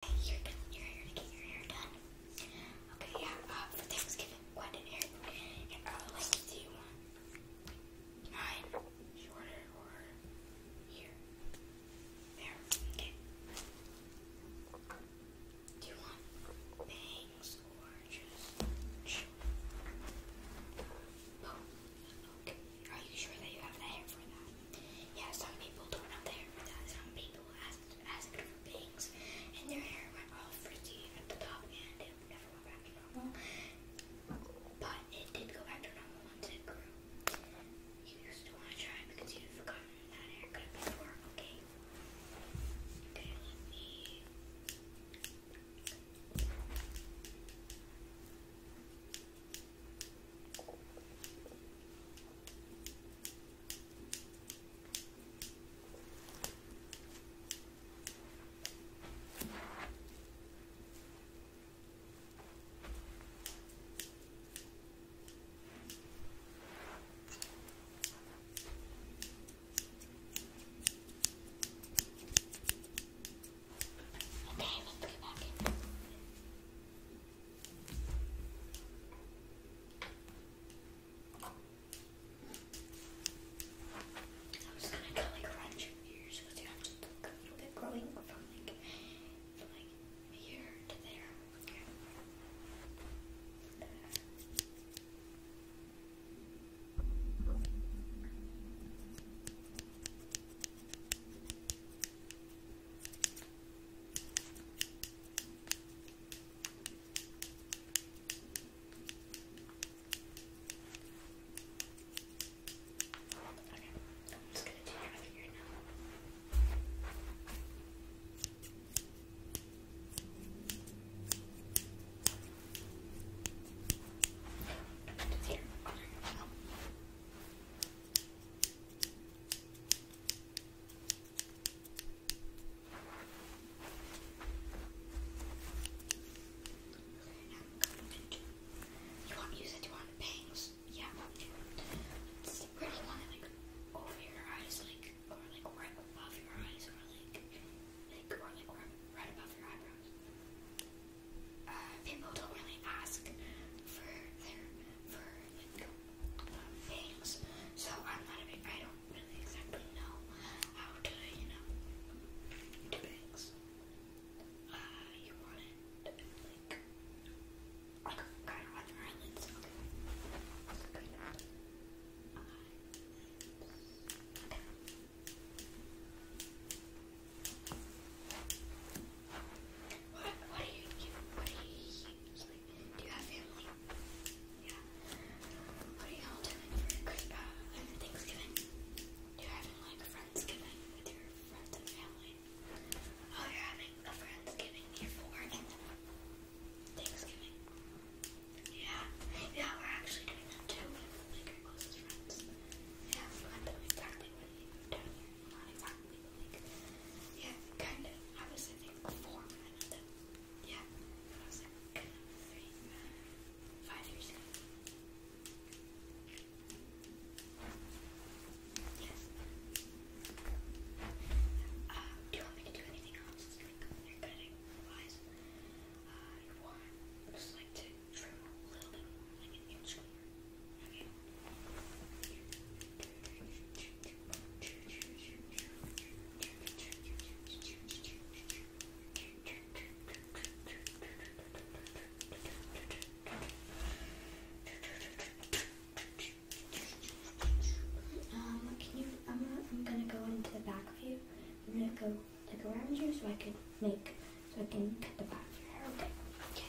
You're done. You're to get your hair done. Okay, yeah. for Thanksgiving, what did Eric and Arlo like shorter or here? There. Do you want bangs or just short? okay. Are you sure that you have the hair for that? Yeah, some people don't have hair for that. Some people asked, ask for bangs, and their hair went all frizzy at the top, and it never went back to normal. But it did go back to normal once it grew. You just do want to try because you've forgotten that haircut before, okay? Okay, me... Okay, let's get back in. I'm gonna kind like around your ears because you have to look a little bit growing from like from like here to there. Okay, I'm just going to do your other ear now. Just here, under your mouth. Okay. You want you said you want bangs? Yeah. It's pretty one like over your eyes, like or like right above your eyes, or like like or like right above your eyebrows. Uh, people don't really ask for their for like things. So I'm not I don't really exactly know how to, you know, do things. Uh, you want like, kind of eyelids, what, what do you What do you do you have family? Yeah. What are y'all doing for uh, Thanksgiving? Do you having like Friendsgiving with your friends and family? Oh, you're having a Friendsgiving here for work and Thanksgiving. Yeah, yeah, we're actually doing that too. like our closest friends. Yeah, we went to exactly what you down here not yeah, kind of. I was, I four when I I was like, kind Yes. do you want me to do anything else? Like, hair cutting wise? Uh, you want just like to trim a little bit more, like an inch more. Um, can you? I'm gonna, I'm gonna go into the back of you. I'm gonna go like around you so I can make so I can cut the back of your hair. Okay. Okay.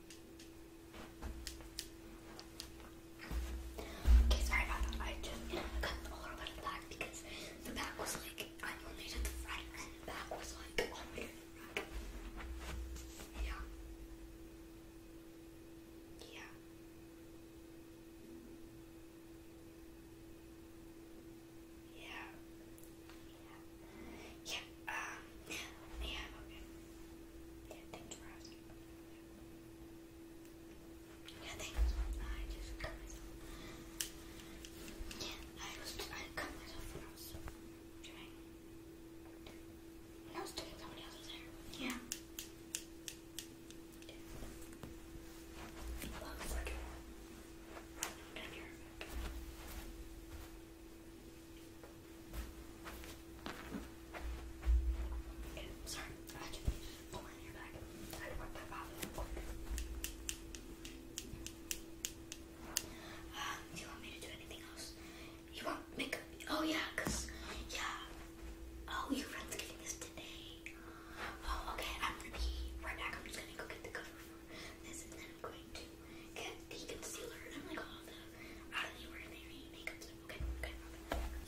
Okay, sorry about that. I just cut a little bit of the because the back was like, I only the front and the back was like, all the way Yeah. Yeah. Yeah. Yeah. Um, yeah. Okay. Yeah. Thanks for asking. Yeah. Thanks. I just cut myself. Yeah. I was. I cut myself when I was I was doing somebody else's hair. Yeah sorry, I had to pull my hair I had to work do you want me to do anything else? You want makeup? Oh yeah, cause yeah. Oh, your friend's getting this today. Oh, okay. I'm gonna be right back. I'm just gonna go get the cover this, and then I'm going to get the concealer and like all oh, the out of the ordinary makeup Okay, okay,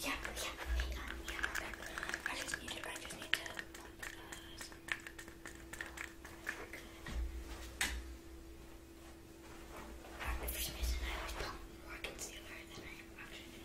yeah, yeah, yeah, I just need to, I just need to. Uh, for some reason, I always pump more concealer than I actually do.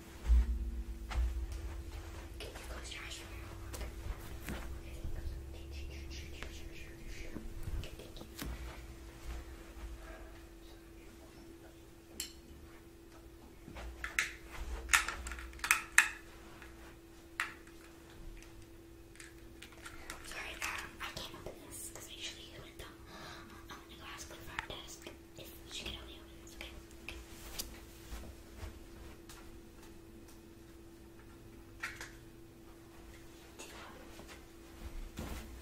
Can you Sorry, um, I can't open this because usually do it uh, I'm gonna go ask her for desk if she can only open this, okay?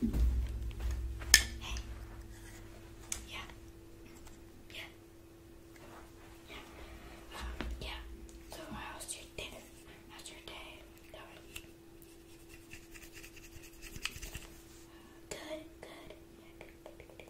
Hey. Yeah. Yeah. Yeah. Um, yeah. So how's your day? How's your day Good, good. Yeah, good.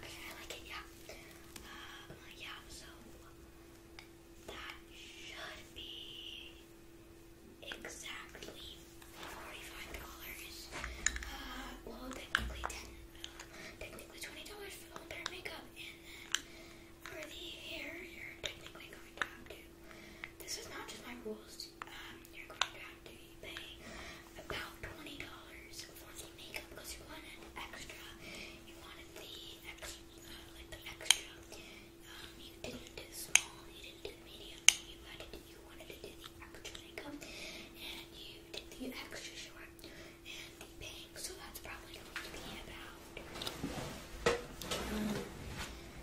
Okay, I like it, yeah. Uh, yeah, so that should be exactly $45. Uh, well, technically 10 uh, technically $20 for the whole pair of makeup, and then for the hair, you're technically going to have to to. This is not just my rules. Um, you're going to have to pay about twenty dollars for the makeup because you wanted extra. You wanted the extra, uh, like the extra. Um, you didn't do small. You didn't do medium. You had to. Do, you wanted to do the extra makeup, and you did the extra short and the bangs. So that's probably going to be about. Um,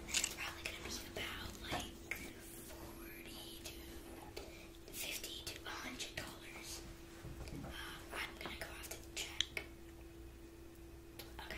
it's probably gonna be about like forty to fifty to a hundred dollars. I'm gonna go off to check. Okay.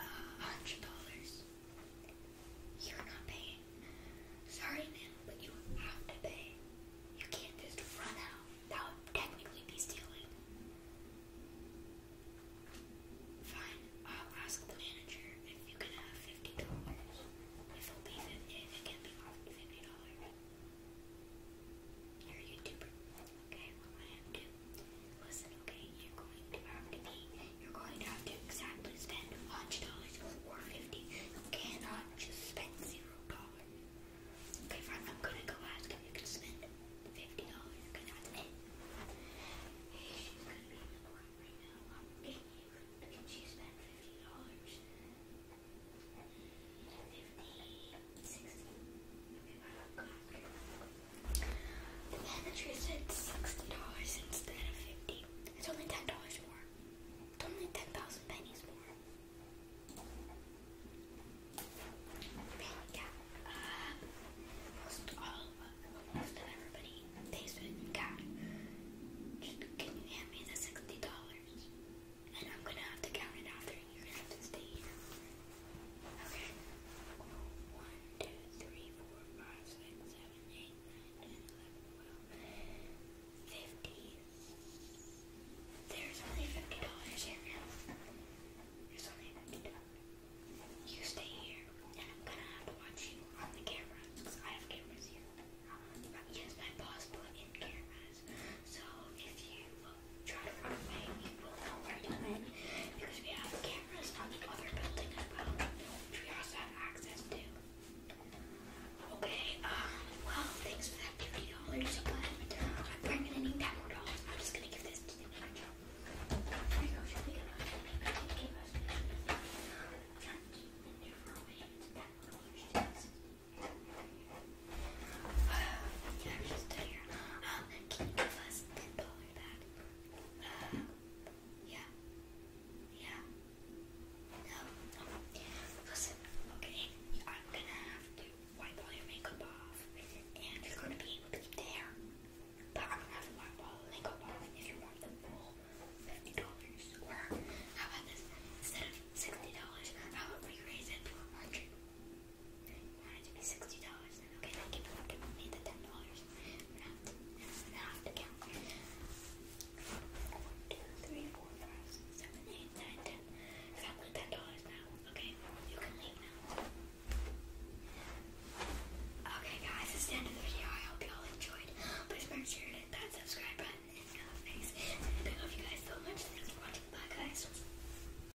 a hundred dollars. You're not paying. Sorry, ma'am, but you have to pay. You can't just run out. That would technically be stealing. Fine, I'll ask the manager if you can have fifty dollars. If will be if it can be more fifty dollars. You're a YouTuber. Okay, what I have to listen, okay, you're going to have to be you're going to have to exactly spend $1 or 50 You cannot just spend zero dollars. Okay, fine, I'm gonna go ask if you can spend fifty dollars, okay, that's gonna spend fifty dollars? the tree said sixty dollars instead of fifty. It's only ten dollars more. It's only ten thousand pennies more. Yeah. Uh, most all of most of everybody pays with cash. can you hand me the sixty dollars? And I'm gonna have to count it after, and you're gonna have to stay here. Okay. One, two, three, four, five, six, seven, eight, nine, ten, eleven, twelve, fifty. There's only fifty dollars here now. There's only fifty dollars. You stay here, and I'm gonna have to watch you on the camera because I have cameras here. Yes, my boss put in cameras. So if you try to run away, we will know where to run because we have cameras on the other building as well, which we also have access to. Okay, um, well, thanks for that $50. So I'm bringing in that more dollars. I'm just gonna give this to the angel. There you go, she us yeah. Yeah. No, Listen, okay, I'm gonna have to wipe all your makeup off, and you're gonna be able to keep the But I'm gonna have to wipe all the makeup off if you want the full $50. Or, how about this? Instead of $60, I would re raise it to a 100 that had to be sixty dollars then. Okay, I give up and made the ten dollars. I'm gonna have to count. One, two, three, four, five, six, seven, eight, nine, ten. I got like ten dollars now. Okay, you can leave now. Okay guys, that's the end of the video. I hope y'all enjoyed. Please make sure to hit that subscribe button and the face. I love you guys so much. Thanks for watching. Bye guys.